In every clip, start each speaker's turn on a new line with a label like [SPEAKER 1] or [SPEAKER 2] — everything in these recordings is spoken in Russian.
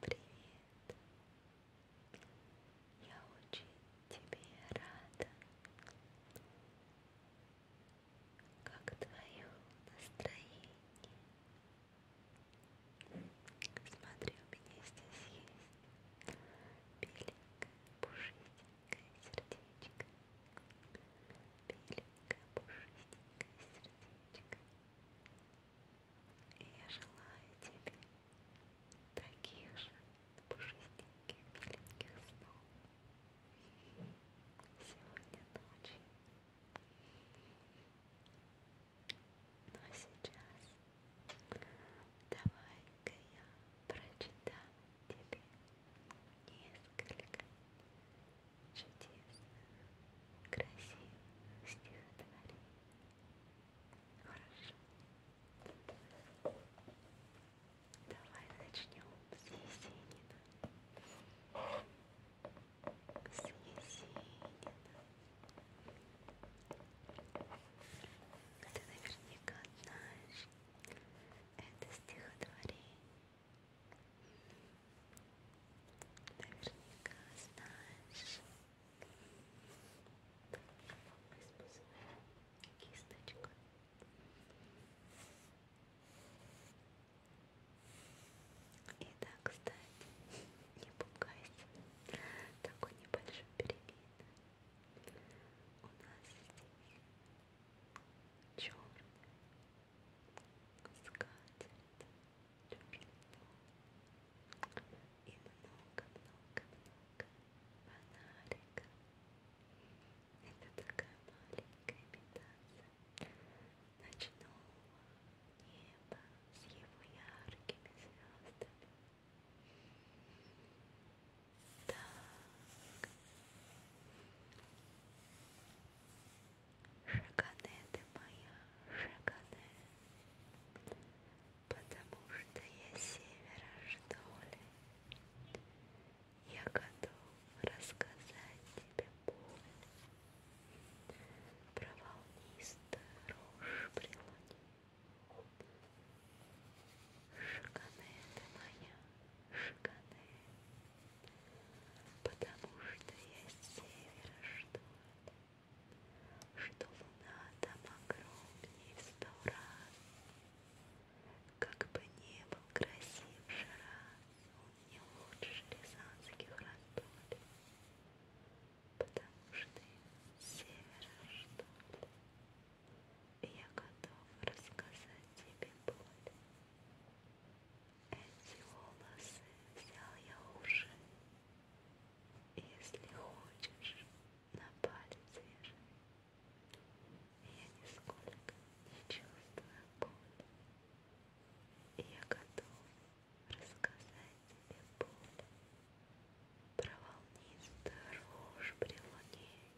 [SPEAKER 1] Привет! Я очень тебе рада. Как твое настроение? Смотри, у меня здесь есть беленькое, пушистенькое сердечко. Беленькое, пушистенькое сердечко мальчик. И я желаю тебе таких же пушистеньких, миленьких снов сегодня ночью. Но сейчас давай-ка я прочитаю тебе несколько чудесно, красиво стихотворение. Хорошо. Давай начнем с Есенина. С Есенина. Ты наверняка знаешь это стихотворение. Наверняка знаешь кисточку. И да, кстати, не пугайся, такой небольшой перемен. У нас здесь черный скатит тепло и много-много-много фонариков. Это такая маленькая имитация ночного неба с его яркими звездами. Так. Шагане ты моя, шагане, потому что я севера, что ли. Я готов рассказать тебе боль про волнистую рожь при луне. Шагане ты моя, Шканы, потому что я с севера что-то, что луна там огромнее в сто раз, как бы не был красив Шарас, он не лучше рязанских родолей, потому что с севера что-то. Я готов рассказать тебе боль. Эти волосы взял я уже. Если хочешь, на палец вешай. Я нисколько не чувствую боли. Я готов рассказать тебе боль. Про волнистую рожь при луне.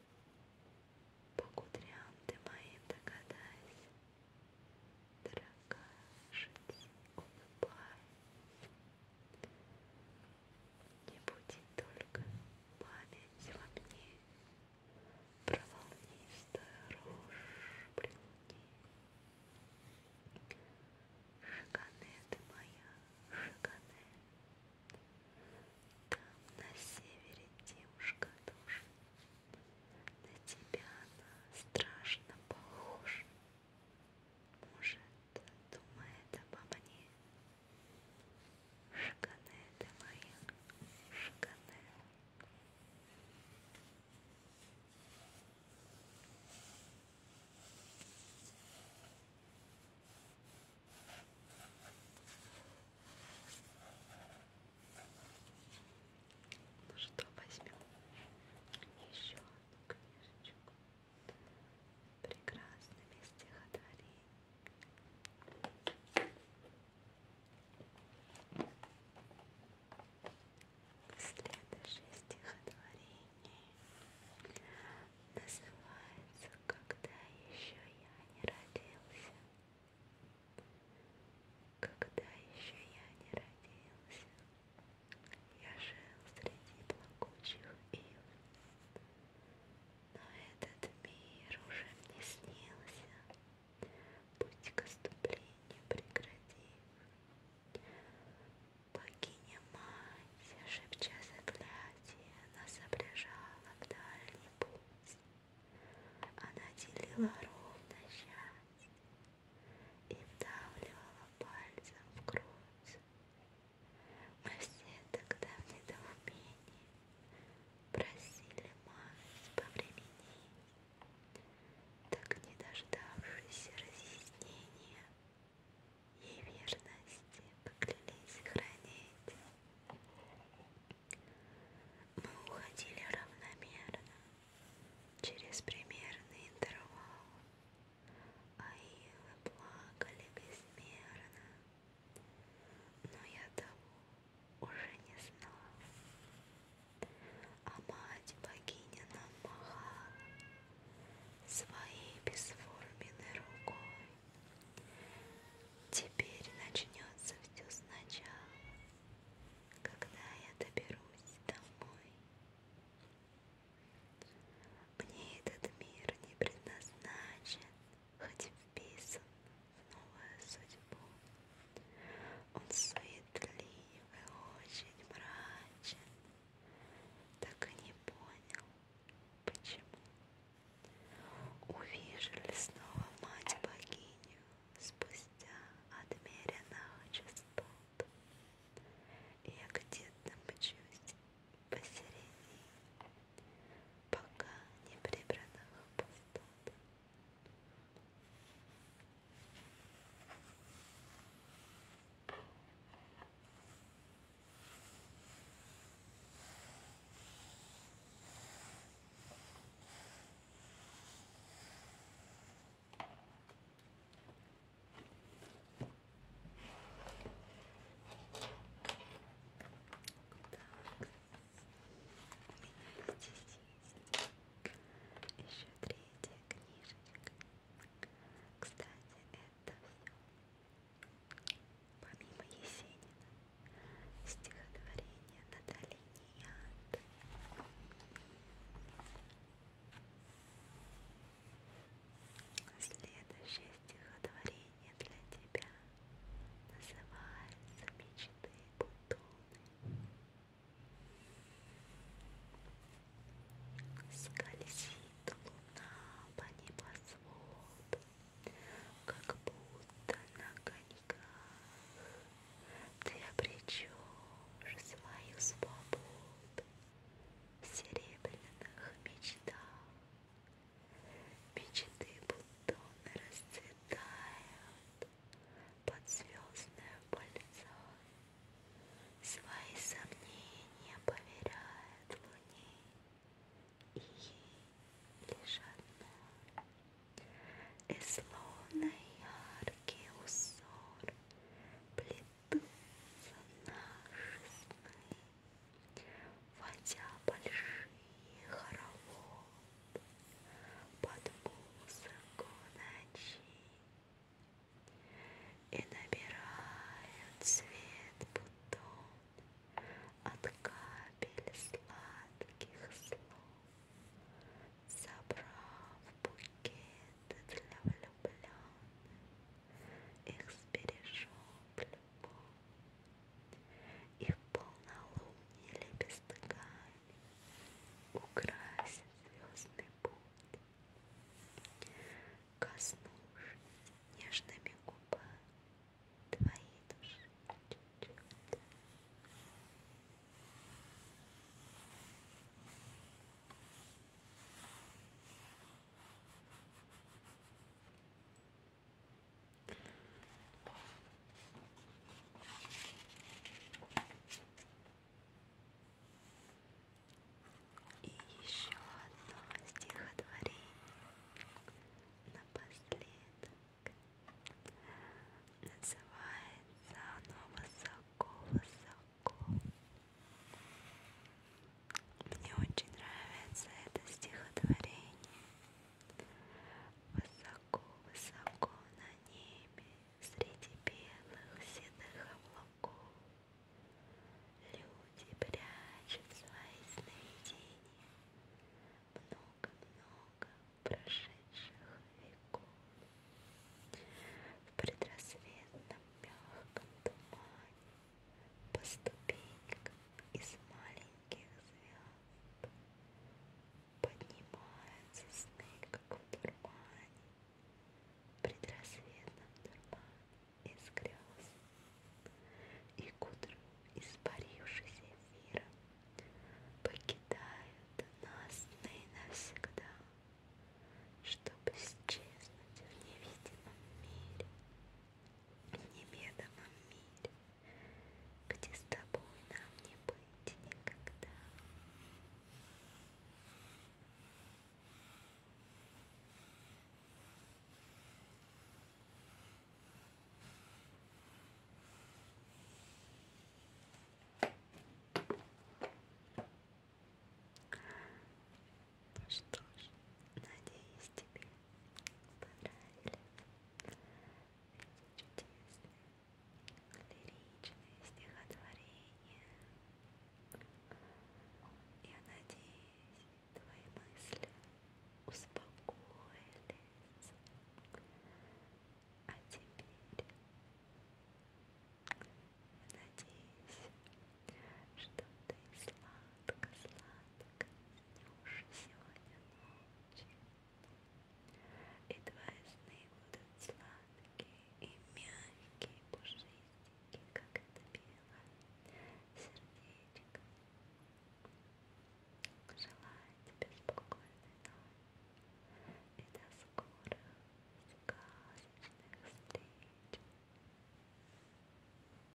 [SPEAKER 1] По кудрям ты моим догадайся, Дорогая жить улыбай. Не буди только память во мне, Про волнистую рожь при луне. Шагане ты моя, шагане, там на севере девушка тоже. На тебя она страшно похожа. Может, думает обо мне. Шкане ты моя, шкане. Ой, ну что, возьмем еще одну книжечку. Прекрасными стихотворениями. Следующее стихотворение называется «Когда еще я не родился». Когда еще я не родился, я жил среди плакучих ив, но этот мир уже мне снился, путь к оступлению прекратив. Богиня мать, шепча заклятие, нас обрежала в дальний путь. Она делила ровно счастье и вдавливала пальцем в грудь. Мы все тогда в недоумении просили мать повременить, так не дождавшись разъяснения и верности поклялись хранить. Мы уходили равномерно, через примерный интервал, а илы плакали безмерно, но я того уже не знал. А мать богиня нам махала, своей бесформенной рукой. Теперь начнется все сначала, когда я доберусь домой. Мне этот мир не предназначен, хоть вписан в новую судьбу. Он суетлив и очень мрачен так и не понял, почему. Увижили снова мать-богиню спустя отмеренного частот. Я где-то мчусь посередине, пока не прибранных пустот. Так. У меня здесь еще третья книжечка. Кстати, это все. Помимо Есенина, стихотворение Натальи Неянты. Следующее стихотворение для тебя называется «Мечты бутоны». Скользит луна по небосводу, Как будто на коньках Ты обречешь свою свободу В серебряных мечтах. Мечты бутоны расцветают, под звездное пальцо, Свои сомнения поверяет луне, И ей лишь одно. И словно яркий узор Плетутся наши сны, Водя большие хороводы под музыку ночи И набирает цвет бутон от капель сладких слов Собрав букеты для влюбленных Их сбережет любовь и в полнолуние лепестками украсит звездный путь. Коснувшись нежными губами твоей души чуть-чуть. Снова и еще одно стихотворение напоследок. Называется оно «Высоко-высоко». Мне очень нравится это стихотворение. Высоко, высоко на небе, Среди белых седых облаков, Люди прячут свои сновидения, Много-много прошедших веков. В предрассветном мягком тумане По ступенькам из маленьких звезд Поднимаются сны, как в дурмане, В предрассветном дурмане из грез. И к утру, испарившись эфиром, Покидают нас сны навсегда, Чтобы исчезнуть в невидимом мире неведомом мире, где с тобой нам не быть никогда. Ну что ж, надеюсь, тебе понравились чудесные лиричные стихотворения. Я надеюсь, твои мысли успокоились. А теперь я надеюсь, что ты сладко сладко снешь сегодня ночью. И твои сны будут сладкие и мягкие, пушистенькие, как это белое сердечко. Желаю тебе спокойной ночи и до скорых сказочных встреч.